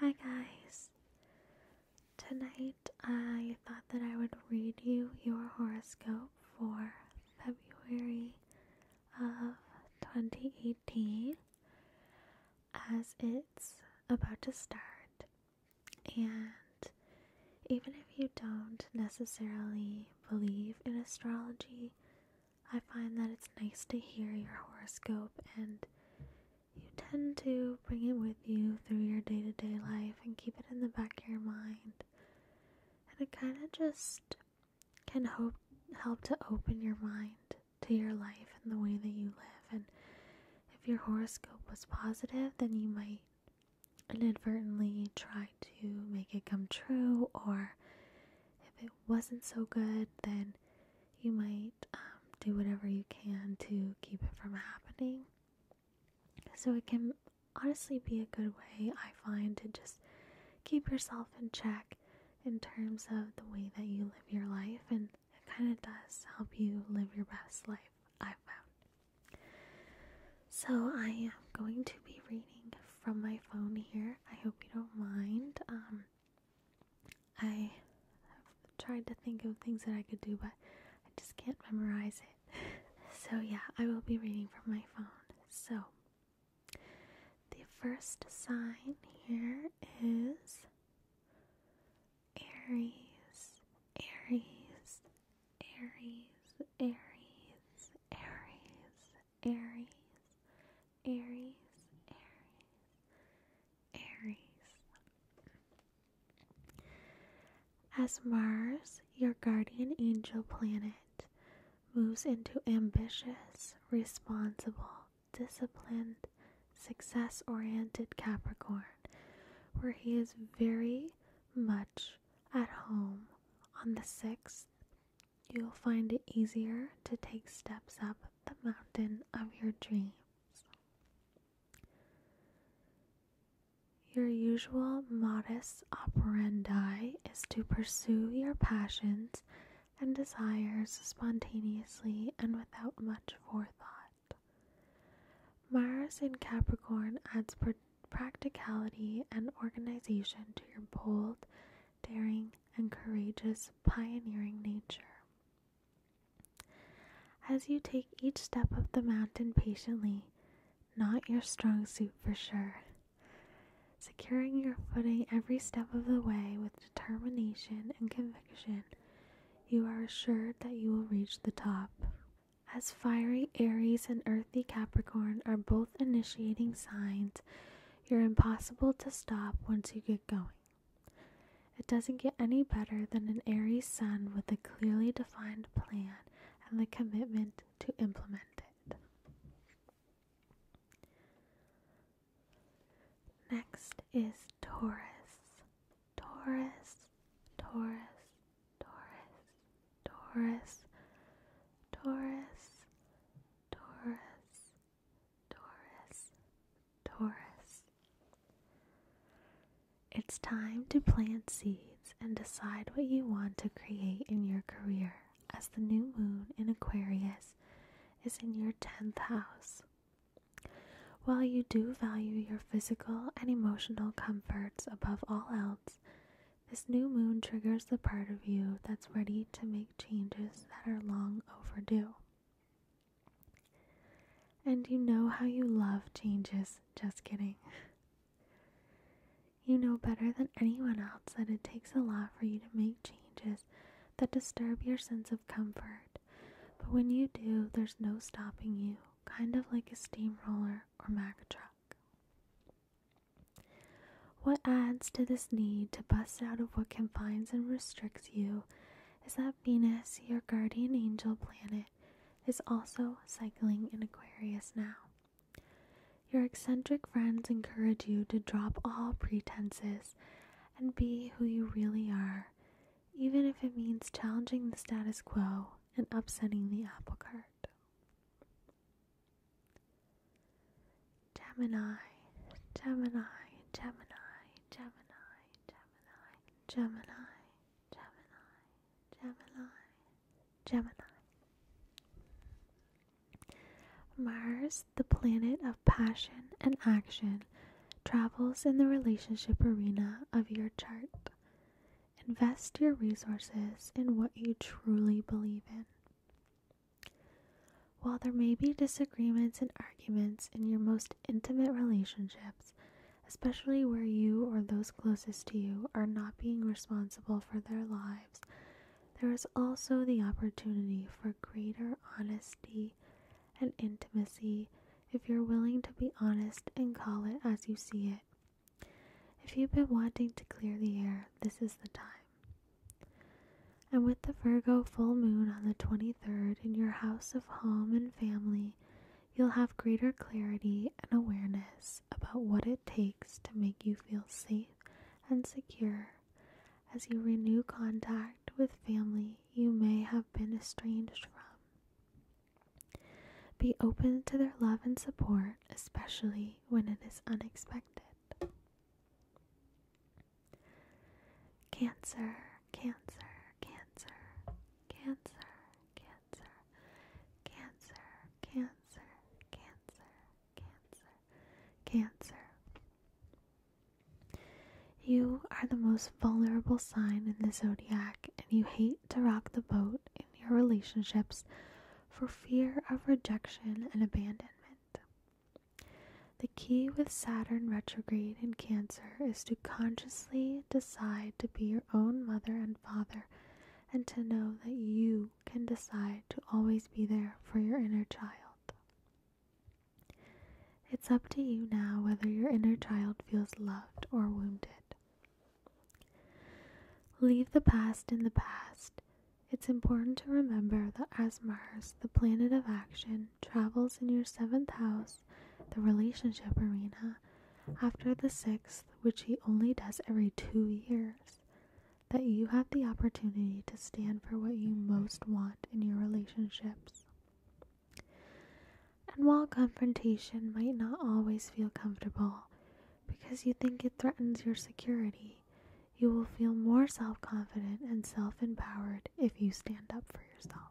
Hi guys! Tonight I thought that I would read you your horoscope for February of 2018 as it's about to start. And even if you don't necessarily believe in astrology, I find that it's nice to hear your horoscope and you tend to bring it with you through your day to day life and keep it in the back of your mind. And it kind of just can hope, help to open your mind to your life and the way that you live. And if your horoscope was positive, then you might inadvertently try to make it come true, or if it wasn't so good, then you might um, do whatever you can to keep it from happening. So it can honestly be a good way, I find, to just keep yourself in check in terms of the way that you live your life, and it kind of does help you live your best life, I've found. So I am going to be reading from my phone here. I hope you don't mind. Um, I have tried to think of things that I could do, but I just can't memorize it. So, yeah, I will be reading from my phone. So, the first sign here is Aries, Aries, Aries, Aries, Aries, Aries, Aries, Aries, Aries. As Mars, your guardian angel planet, moves into ambitious, responsible, disciplined, success oriented Capricorn, where he is very much at home on the 6th, you'll find it easier to take steps up the mountain of your dreams. Your usual modest operandi is to pursue your passions and desires spontaneously and without much forethought. Mars in Capricorn adds practicality and organization to your bold, daring, and courageous pioneering nature. As you take each step up the mountain patiently, not your strong suit for sure. Securing your footing every step of the way with determination and conviction, you are assured that you will reach the top. As fiery Aries and earthy Capricorn are both initiating signs, you're impossible to stop once you get going. It doesn't get any better than an airy sun with a clearly defined plan and the commitment to implement it. Next is Taurus. Taurus, Taurus, Taurus, Taurus, Taurus, Taurus, Taurus, Taurus. It's time to plant seeds and decide what you want to create in your career as the new moon in Aquarius is in your 10th house. While you do value your physical and emotional comforts above all else, this new moon triggers the part of you that's ready to make changes that are long overdue. And you know how you love changes. Just kidding. You know better than anyone else that it takes a lot for you to make changes that disturb your sense of comfort. But when you do, there's no stopping you, kind of like a steamroller or Mack truck. What adds to this need to bust out of what confines and restricts you is that Venus, your guardian angel planet, is also cycling in Aquarius now. Your eccentric friends encourage you to drop all pretenses and be who you really are, even if it means challenging the status quo and upsetting the apple cart. Gemini, Gemini, Gemini. Gemini, Gemini, Gemini, Gemini, Gemini, Gemini. Mars, the planet of passion and action, travels in the relationship arena of your chart. Invest your resources in what you truly believe in. While there may be disagreements and arguments in your most intimate relationships, especially where you or those closest to you are not being responsible for their lives, there is also the opportunity for greater honesty and intimacy if you're willing to be honest and call it as you see it. If you've been wanting to clear the air, this is the time and with the Virgo full moon on the 23rd in your house of home and family, you'll have greater clarity and awareness about what it takes to make you feel safe and secure. As you renew contact with family you may have been estranged from, be open to their love and support, especially when it is unexpected. Cancer, cancer, cancer, cancer, cancer, cancer, cancer, cancer, cancer, cancer. You are the most vulnerable sign in the zodiac, and you hate to rock the boat in your relationships for fear of rejection and abandonment. The key with Saturn retrograde in Cancer is to consciously decide to be your own mother and father and to know that you can decide to always be there for your inner child. It's up to you now whether your inner child feels loved or wounded. Leave the past in the past. It's important to remember that as Mars, the planet of action, travels in your seventh house, the relationship arena, after the sixth, which he only does every two years, that you have the opportunity to stand for what you most want in your relationships. And while confrontation might not always feel comfortable because you think it threatens your security, you will feel more self confident and self empowered if you stand up for yourself.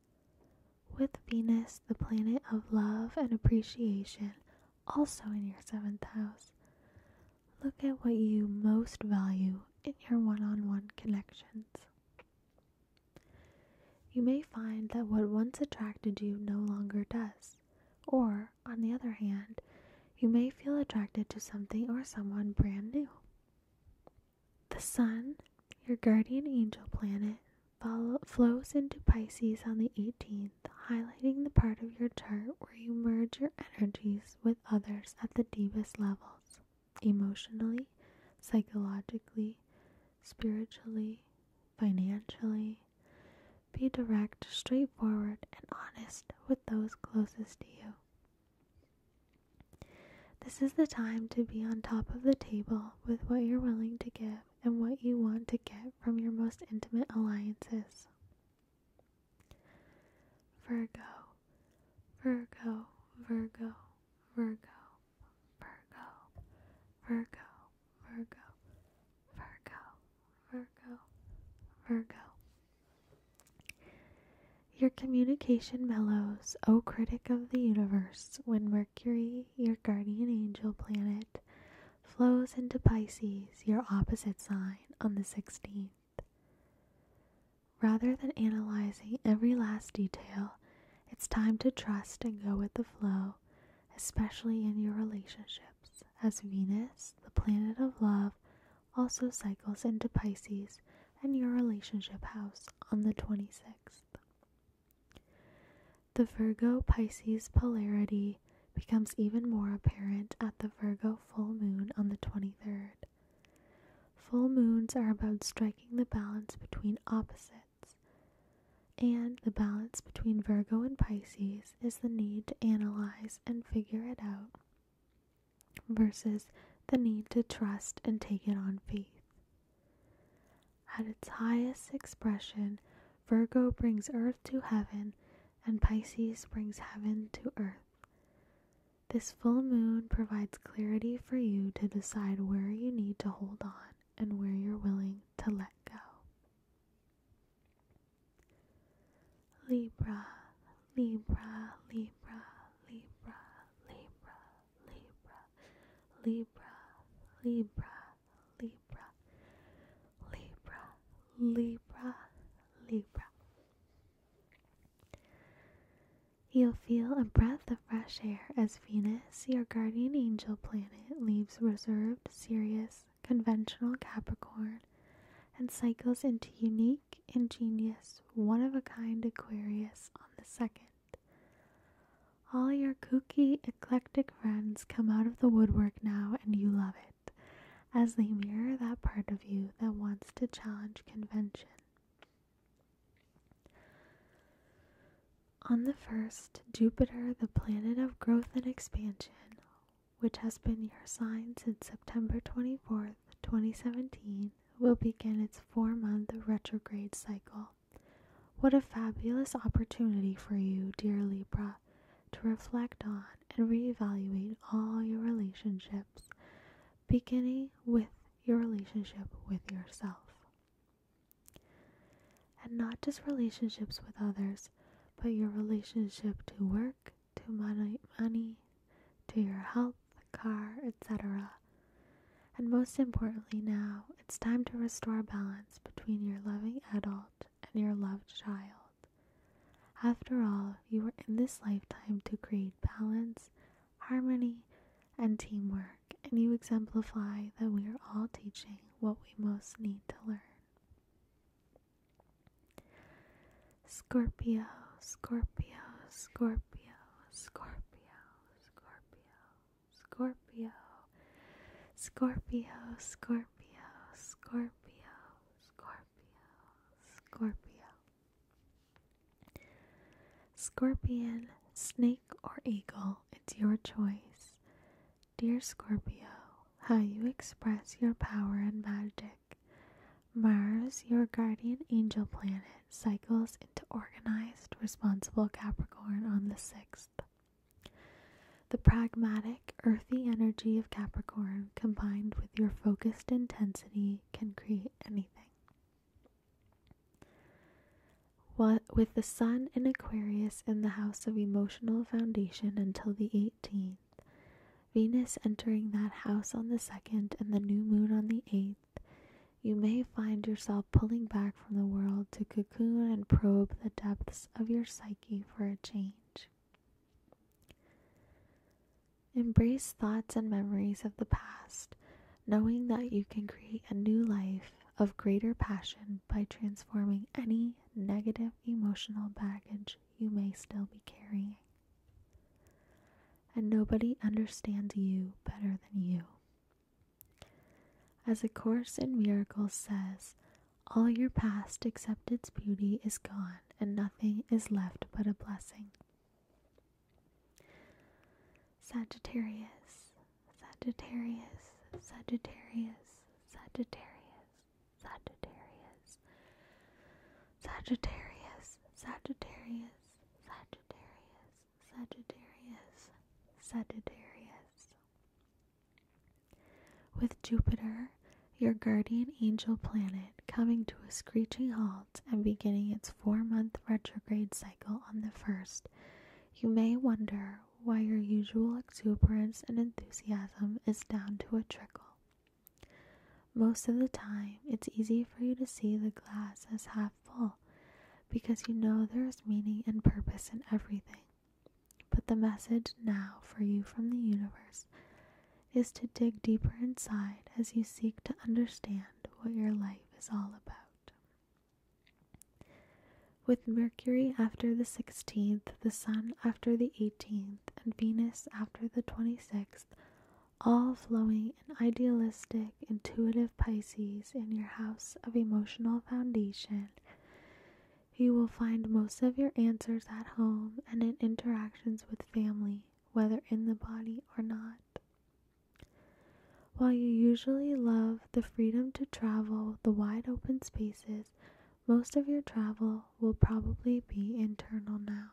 with Venus, the planet of love and appreciation, also in your seventh house, look at what you most value in your one on one connections. You may find that what once attracted you no longer does, or, on the other hand, you may feel attracted to something or someone brand new. The Sun, your guardian angel planet, flows into Pisces on the 18th, highlighting the part of your chart where you merge your energies with others at the deepest levels emotionally, psychologically, spiritually, financially. Be direct, straightforward, and honest with those closest to you. This is the time to be on top of the table with what you're willing to give and what you want to get from your most intimate alliances. Virgo, Virgo, Virgo, Virgo, Virgo, Virgo, Virgo, Virgo, Virgo, Virgo. Your communication mellows, O critic of the universe, when Mercury, your guardian angel planet, flows into Pisces, your opposite sign, on the 16th. Rather than analyzing every last detail, it's time to trust and go with the flow, especially in your relationships, as Venus, the planet of love, also cycles into Pisces and your relationship house on the 26th. The Virgo Pisces polarity becomes even more apparent at the Virgo full moon on the 23rd. Full moons are about striking the balance between opposites, and the balance between Virgo and Pisces is the need to analyze and figure it out versus the need to trust and take it on faith. At its highest expression, Virgo brings earth to heaven, and Pisces brings heaven to earth. This full moon provides clarity for you to decide where you need to hold on and where you're willing to let go. Libra, Libra, Libra, Libra, Libra, Libra, Libra, Libra, Libra, Libra, Libra, Libra. You'll feel a breath of fresh air as Venus, your guardian angel planet, leaves reserved, serious, conventional Capricorn and cycles into unique, ingenious, one of a kind Aquarius on the second all your kooky, eclectic friends come out of the woodwork now, and you love it, as they mirror that part of you that wants to challenge convention. On the first, Jupiter, the planet of growth and expansion, which has been your sign since September 24th, 2017, will begin its four month retrograde cycle. What a fabulous opportunity for you, dear Libra, to reflect on and reevaluate all your relationships, beginning with your relationship with yourself. And not just relationships with others, but your relationship to work, to money to your health the car, etc. And most importantly, now it's time to restore balance between your loving adult and your loved child. After all, you were in this lifetime to create balance, harmony, and teamwork, and you exemplify that we are all teaching what we most need to learn. Scorpio, Scorpio, Scorpio, Scorpio, Scorpio. Scorpio, Scorpio, Scorpio, Scorpio, Scorpio, Scorpio. Scorpion, snake, or eagle, it's your choice. Dear Scorpio, how you express your power and magic. Mars, your guardian angel planet, cycles into organized, responsible Capricorn on the 6th. The pragmatic, earthy energy of Capricorn combined with your focused intensity can create anything. with the Sun in Aquarius in the house of emotional foundation until the 18th, Venus entering that house on the 2nd and the new moon on the 8th you may find yourself pulling back from the world to cocoon and probe the depths of your psyche for a change. Embrace thoughts and memories of the past, knowing that you can create a new life of greater passion by transforming any negative emotional baggage you may still be carrying. And nobody understands you better than you. As A Course in Miracles says, all your past except its beauty is gone, and nothing is left but a blessing. Sagittarius, Sagittarius, Sagittarius, Sagittarius, Sagittarius, Sagittarius, Sagittarius, Sagittarius, Sagittarius, Sagittarius. With Jupiter, your guardian angel planet, coming to a screeching halt and beginning its four month retrograde cycle on the 1st, you may wonder why your usual exuberance and enthusiasm is down to a trickle. Most of the time, it's easy for you to see the glass as half full because you know there is meaning and purpose in everything. But the message now for you from the universe is to dig deeper inside as you seek to understand what your life is all about. With Mercury after the 16th, the Sun after the 18th, and Venus after the 26th, all flowing an idealistic, intuitive Pisces in your house of emotional foundation, you will find most of your answers at home and in interactions with family, whether in the body or not. While you usually love the freedom to travel, the wide open spaces, most of your travel will probably be internal now.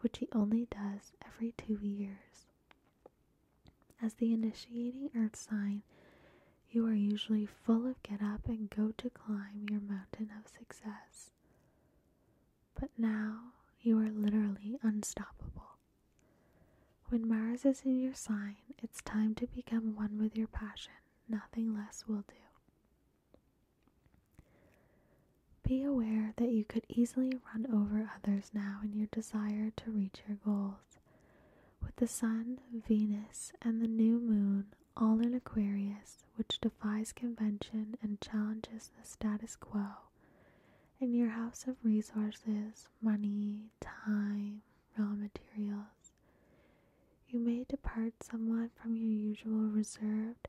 which he only does every two years. As the initiating earth sign, you are usually full of get up and go to climb your mountain of success. But now you are literally unstoppable. When Mars is in your sign, it's time to become one with your passion. Nothing less will do. Be aware that you could easily run over others now in your desire to reach your goals. With the Sun, Venus, and the new moon all in Aquarius, which defies convention and challenges the status quo, in your house of resources, money, time, raw materials, you may depart somewhat from your usual reserved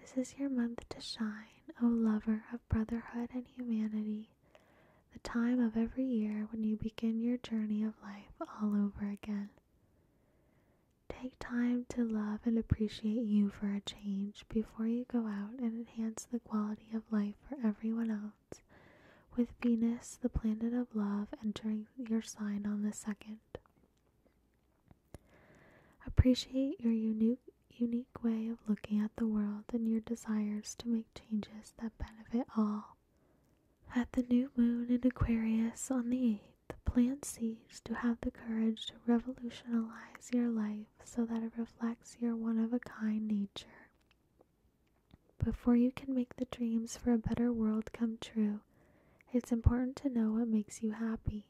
This is your month to shine, O lover of brotherhood and humanity, the time of every year when you begin your journey of life all over again. Take time to love and appreciate you for a change before you go out and enhance the quality of life for everyone else, with Venus, the planet of love, entering your sign on the second. Appreciate your unique, unique way of looking at the world and your desires to make changes that benefit all. At the new moon in Aquarius on the 8th, plant seeds to have the courage to revolutionize your life so that it reflects your one of a kind nature. Before you can make the dreams for a better world come true, it's important to know what makes you happy.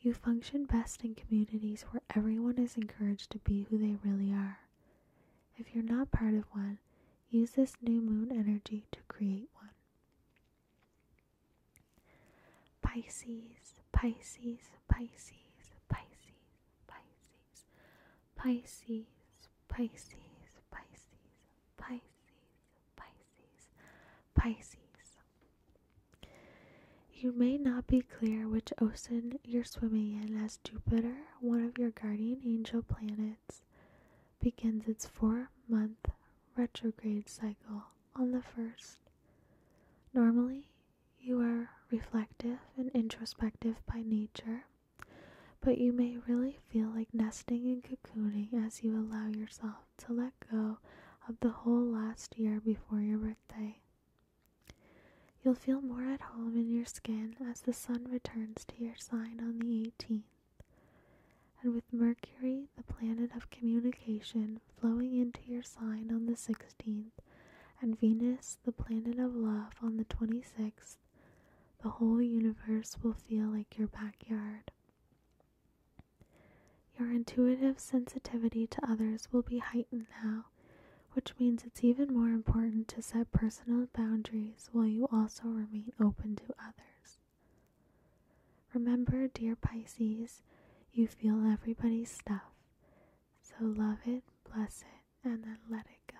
You function best in communities where everyone is encouraged to be who they really are. If you're not part of one, use this new moon energy to create one. Pisces, Pisces, Pisces, Pisces, Pisces, Pisces, Pisces, Pisces, Pisces, Pisces, Pisces. You may not be clear which ocean you're swimming in as Jupiter, one of your guardian angel planets, begins its four month retrograde cycle on the first. Normally, you are reflective and introspective by nature, but you may really feel like nesting and cocooning as you allow yourself to let go of the whole last year before your birthday. You'll feel more at home in your skin as the sun returns to your sign on the 18th. And with Mercury, the planet of communication, flowing into your sign on the 16th, and Venus, the planet of love, on the 26th, the whole universe will feel like your backyard. Your intuitive sensitivity to others will be heightened now, which means it's even more important to set personal boundaries while you also remain open to others. Remember, dear Pisces, you feel everybody's stuff, so love it, bless it, and then let it go.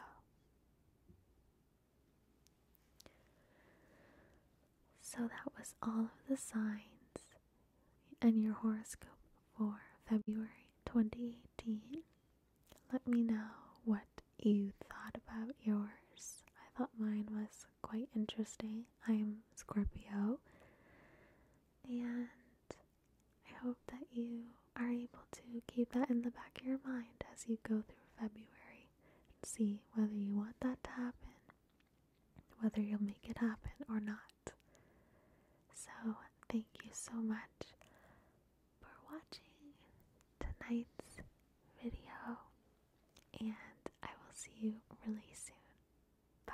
So that was all of the signs and your horoscope for February 2018. Let me know what you thought about yours. I thought mine was quite interesting. I am Scorpio. And I hope that you are able to keep that in the back of your mind as you go through February and see whether you want that to happen, whether you'll make it happen or not. So, thank you so much for watching tonight's video, and I will see you really soon. Bye.